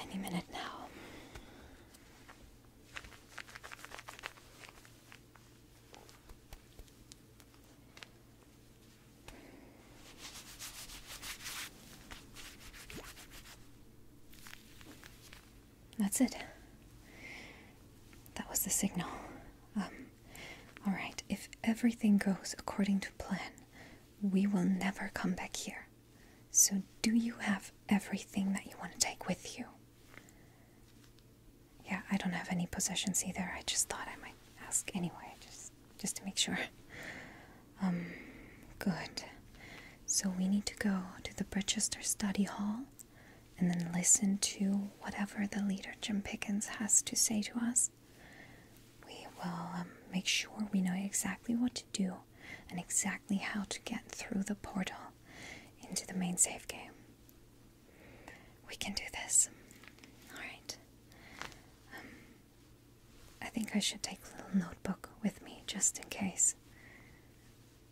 Any minute now. That's it. That was the signal. Um, Alright, if everything goes according to plan, we will never come back here. So, do you have everything that you want to take with you? Yeah, I don't have any possessions either. I just thought I might ask anyway, just just to make sure. Um, good. So we need to go to the Bridgester Study Hall and then listen to whatever the leader Jim Pickens has to say to us, we will um, make sure we know exactly what to do and exactly how to get through the portal into the main save game. We can do this. Alright. Um, I think I should take a little notebook with me just in case.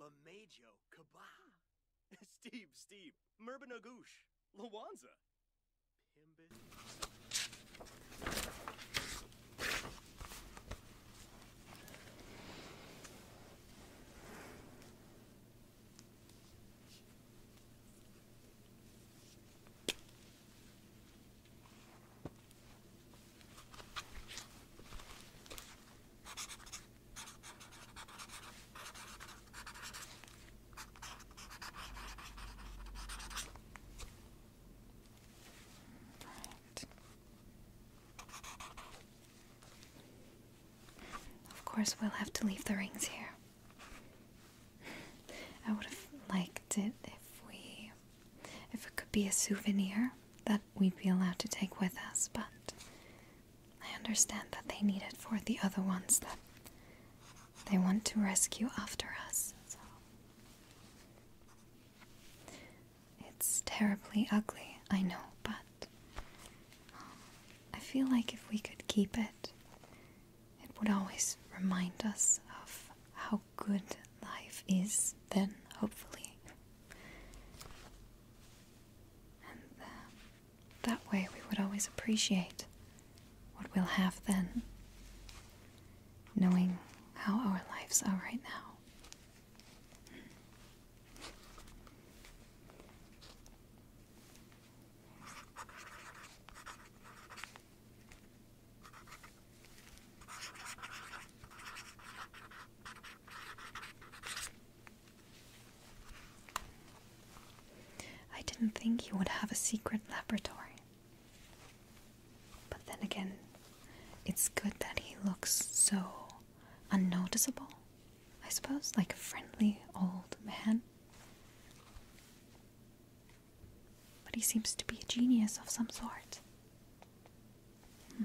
Lamajo Cabah, ah. Steve, Steve, Merbinagoosh, Lawanza. Pimbit. Of course, we'll have to leave the rings here. I would have liked it if we if it could be a souvenir that we'd be allowed to take with us, but I understand that they need it for the other ones that they want to rescue after us. It's terribly ugly, I know, but um, I feel like if we could keep it, it would always remind us of how good life is, then hopefully. Uh, that way we would always appreciate what we'll have then, knowing how our lives are right now. I didn't think he would have a secret laboratory. But then again, it's good that he looks so unnoticeable, I suppose, like a friendly old man. But he seems to be a genius of some sort. Hmm.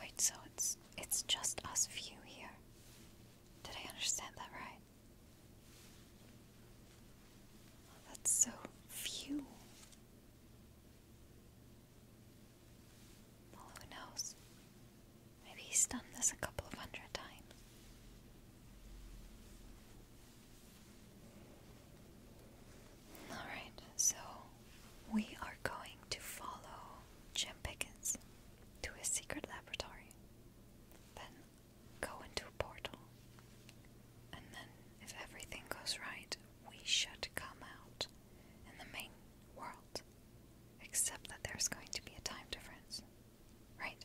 Wait, so it's it's just us few here. Did I understand that right? Oh, that's so few. Well, who knows? Maybe he's done this a couple of hundred times. Alright, so we are going to follow Jim Pickens to his secret laboratory. Then go into a portal, and then, if everything goes right, we should come out in the main world. Except that there's going to be a time difference. Right?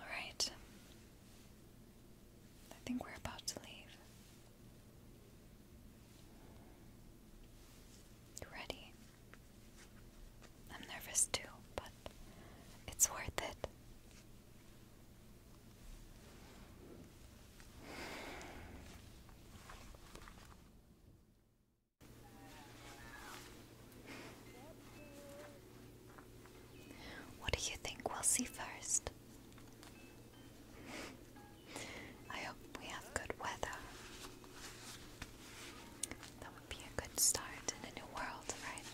Alright. I think we're about to leave. You ready? I'm nervous too, but it's worth it. What do you think we'll see first? I hope we have good weather. That would be a good start in a new world, right?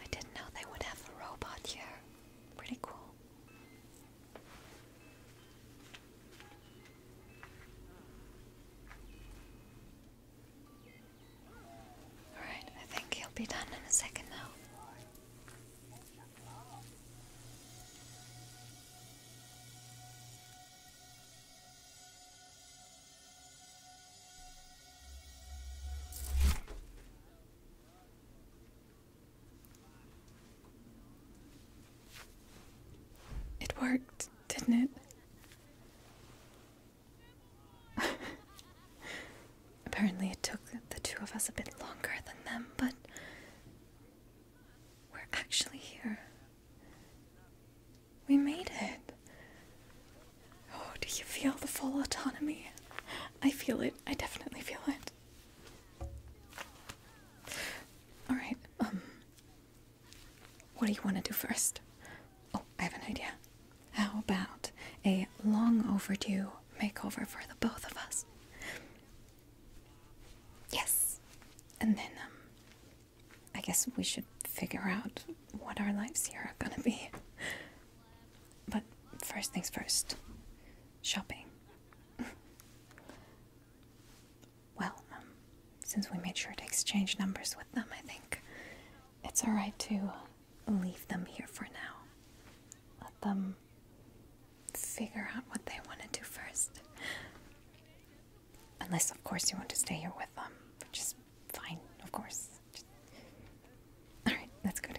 I didn't know they would have a robot here. Pretty cool. Alright, I think he'll be done in a second now. It worked, didn't it? Apparently, it took the two of us a bit longer than them, but we're actually here. We made it. Oh, do you feel the full autonomy? I feel it. I definitely feel it. Alright, um. What do you want to do first? Oh, I have an idea. How about a long overdue makeover for the both of us? Yes. And then, um. I guess we should figure out what our lives here are gonna be. But first things first shopping. well, um, since we made sure to exchange numbers with them, I think it's alright to leave them here for now. Let them figure out what they want to do first. Unless, of course, you want to stay here with them, which Fine, of course. Alright, let's go together.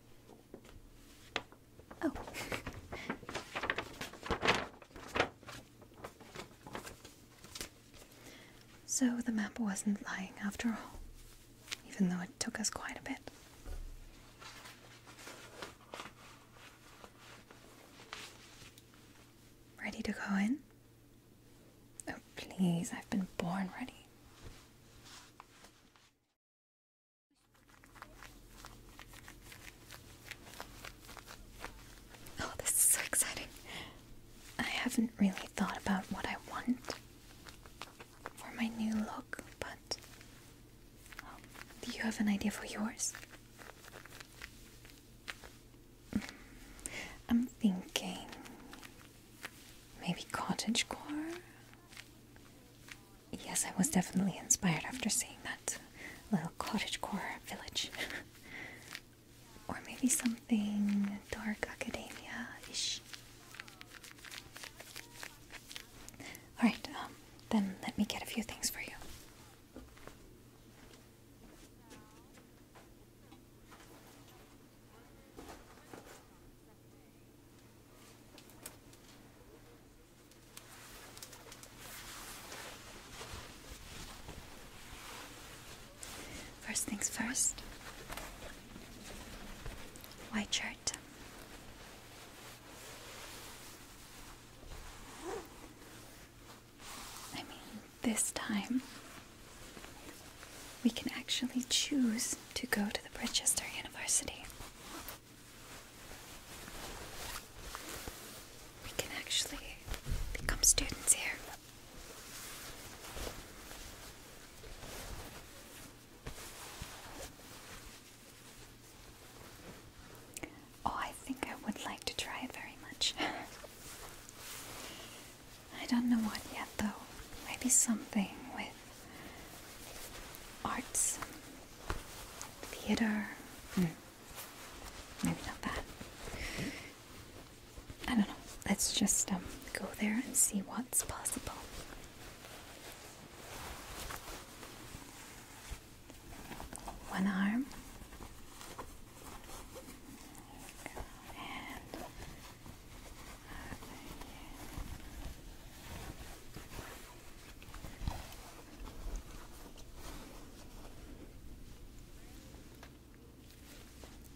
Oh. so the map wasn't lying after all, even though it took us quite a bit. Ready to go in? Oh, please, I've been born ready. Oh, this is so exciting. I haven't really thought about what I want for my new look, but um, do you have an idea for yours? Mm, I'm thinking maybe cottage core yes, I was definitely inspired after seeing that little cottage core village. or maybe something dark academia ish. Alright, um, then let me get a few things for you. First things first. White shirt. I mean, this time we can actually choose to go to the Bridgester University. We can actually become students here. Oh, I think I would like to try very much. I don't know what yet, though. Maybe something with arts Theater. Hmm. Maybe not that. I don't know. Let's just um, go there and see what's possible. One arm.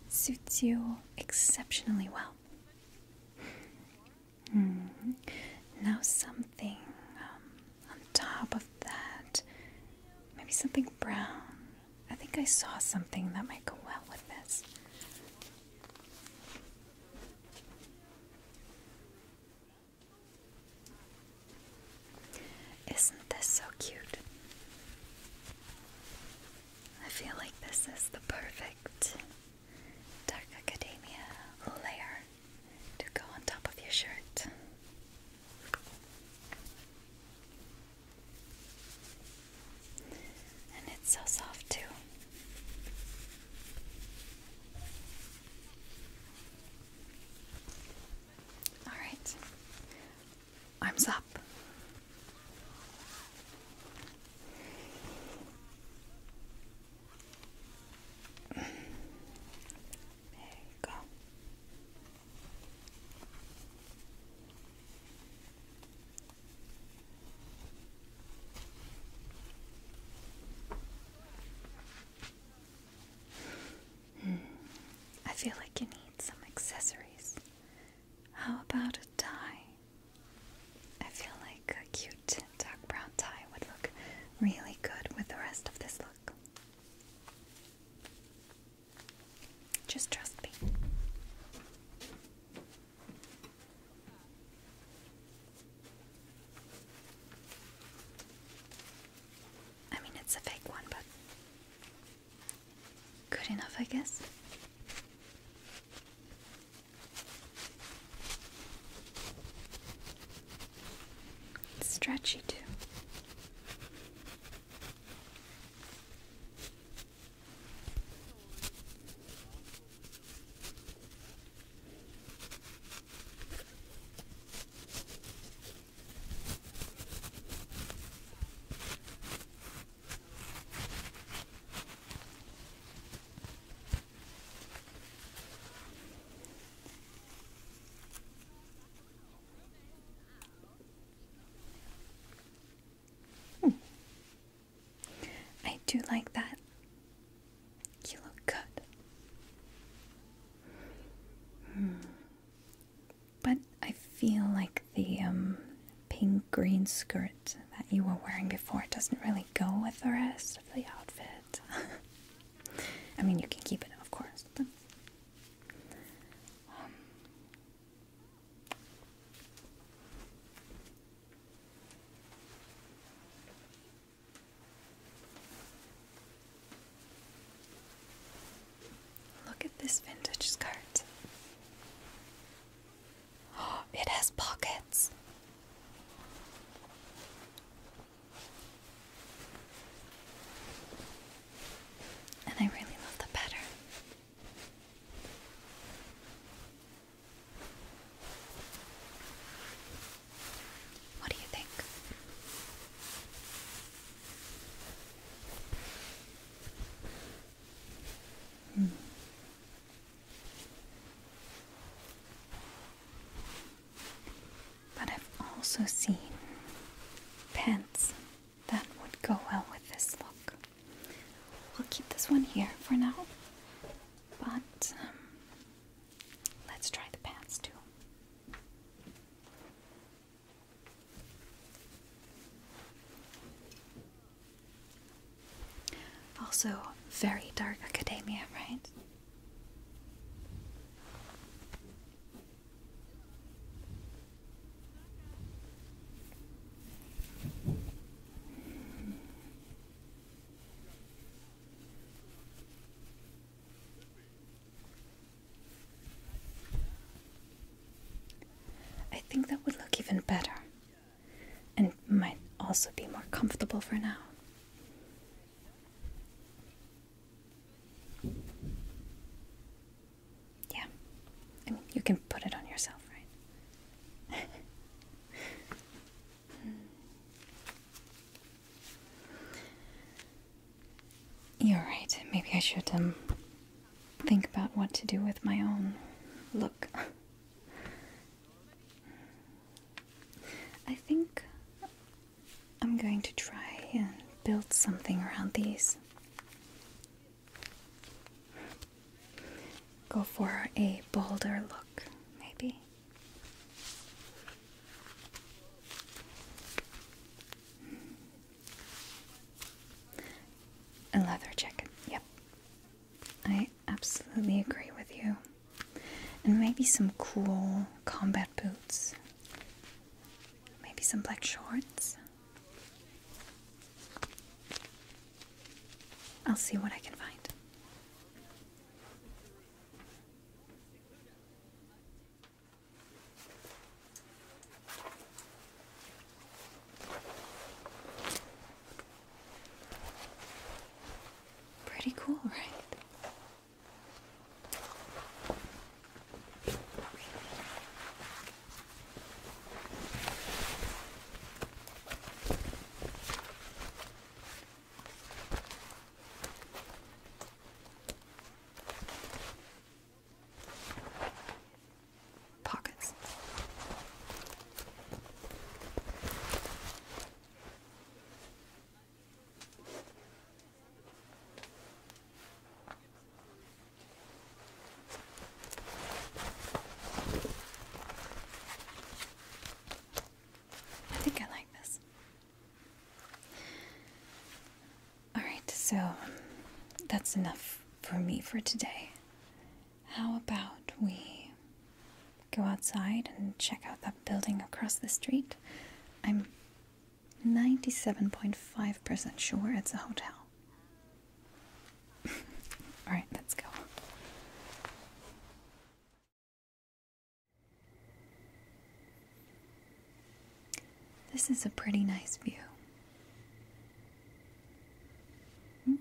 Suits you exceptionally well. Mm-hmm. Now, something um, on top of that, maybe something brown. I think I saw something that might go well with this. Isn't this so cute? I feel like this is the perfect Dark Academia layer to go on top of your shirt. And it's so soft, too. Alright. Arms up. There you go. Hmm. I feel like you need some accessories. How about a tie? I feel like a cute dark brown tie would look really good with the rest of this look. Just trust me. I mean, it's a fake one, but good enough, I guess. stretchy, too. Hmm. I do like that. You look good. Hmm. But I feel like the um, pink green skirt that you were wearing before doesn't really go with the rest of the outfit. I mean, you can keep it, of course, but. Um, Look at this vintage skirt. it has pockets. And I really love the pattern. What do you think? Hmm. But I've also seen pants that would go well with this look. We'll keep this one here for now, but um, Let's try the pants too. Also, very dark academia, right? I think that would look even better and might also be more comfortable for now. Yeah, I mean, you can put it on yourself, right? Hmm. You're right. Maybe I should, um, think about what to do with my own look. I think I'm going to try and build something around these. Go for a bolder look, maybe. A leather jacket, yep. I absolutely agree with you. And maybe some cool combat boots. Maybe some black shorts. I'll see what I can find. Pretty cool, right? Pockets. I think I like this. Alright, so that's enough for me for today. How about we go outside and check out that building across the street? I'm 97.5% sure it's a hotel. Alright, let's go. This is a pretty nice view. Hmm?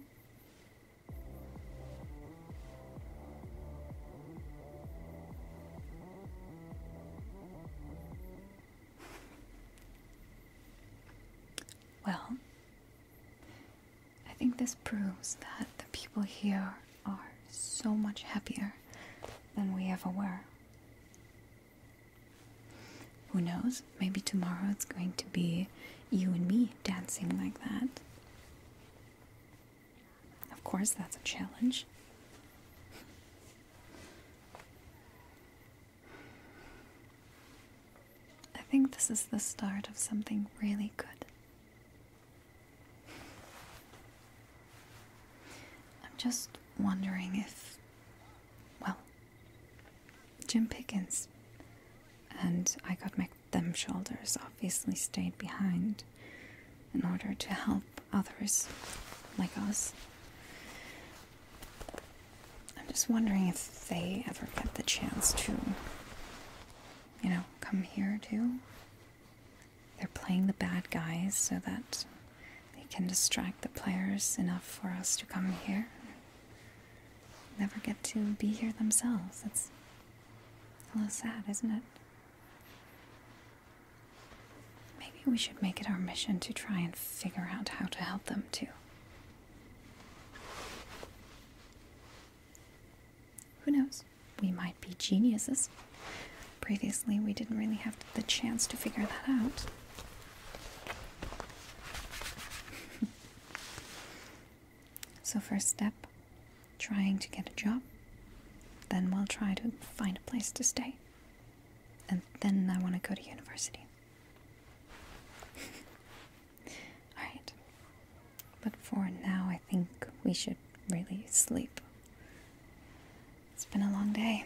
Well, I think this proves that the people here are so much happier than we ever were. Who knows? Maybe tomorrow it's going to be you and me dancing like that. Of course, that's a challenge. I think this is the start of something really good. I'm just wondering if, well, Jim Pickens and I got my them shoulders obviously stayed behind in order to help others like us. I'm just wondering if they ever get the chance to, you know, come here too. They're playing the bad guys so that they can distract the players enough for us to come here. Never get to be here themselves. It's a little sad, isn't it? Maybe we should make it our mission to try and figure out how to help them too who knows? We might be geniuses. Previously, we didn't really have the chance to figure that out. so, first step trying to get a job. Then, we'll try to find a place to stay. And then, I want to go to university. Alright, but for now, I think we should really sleep. It's been a long day.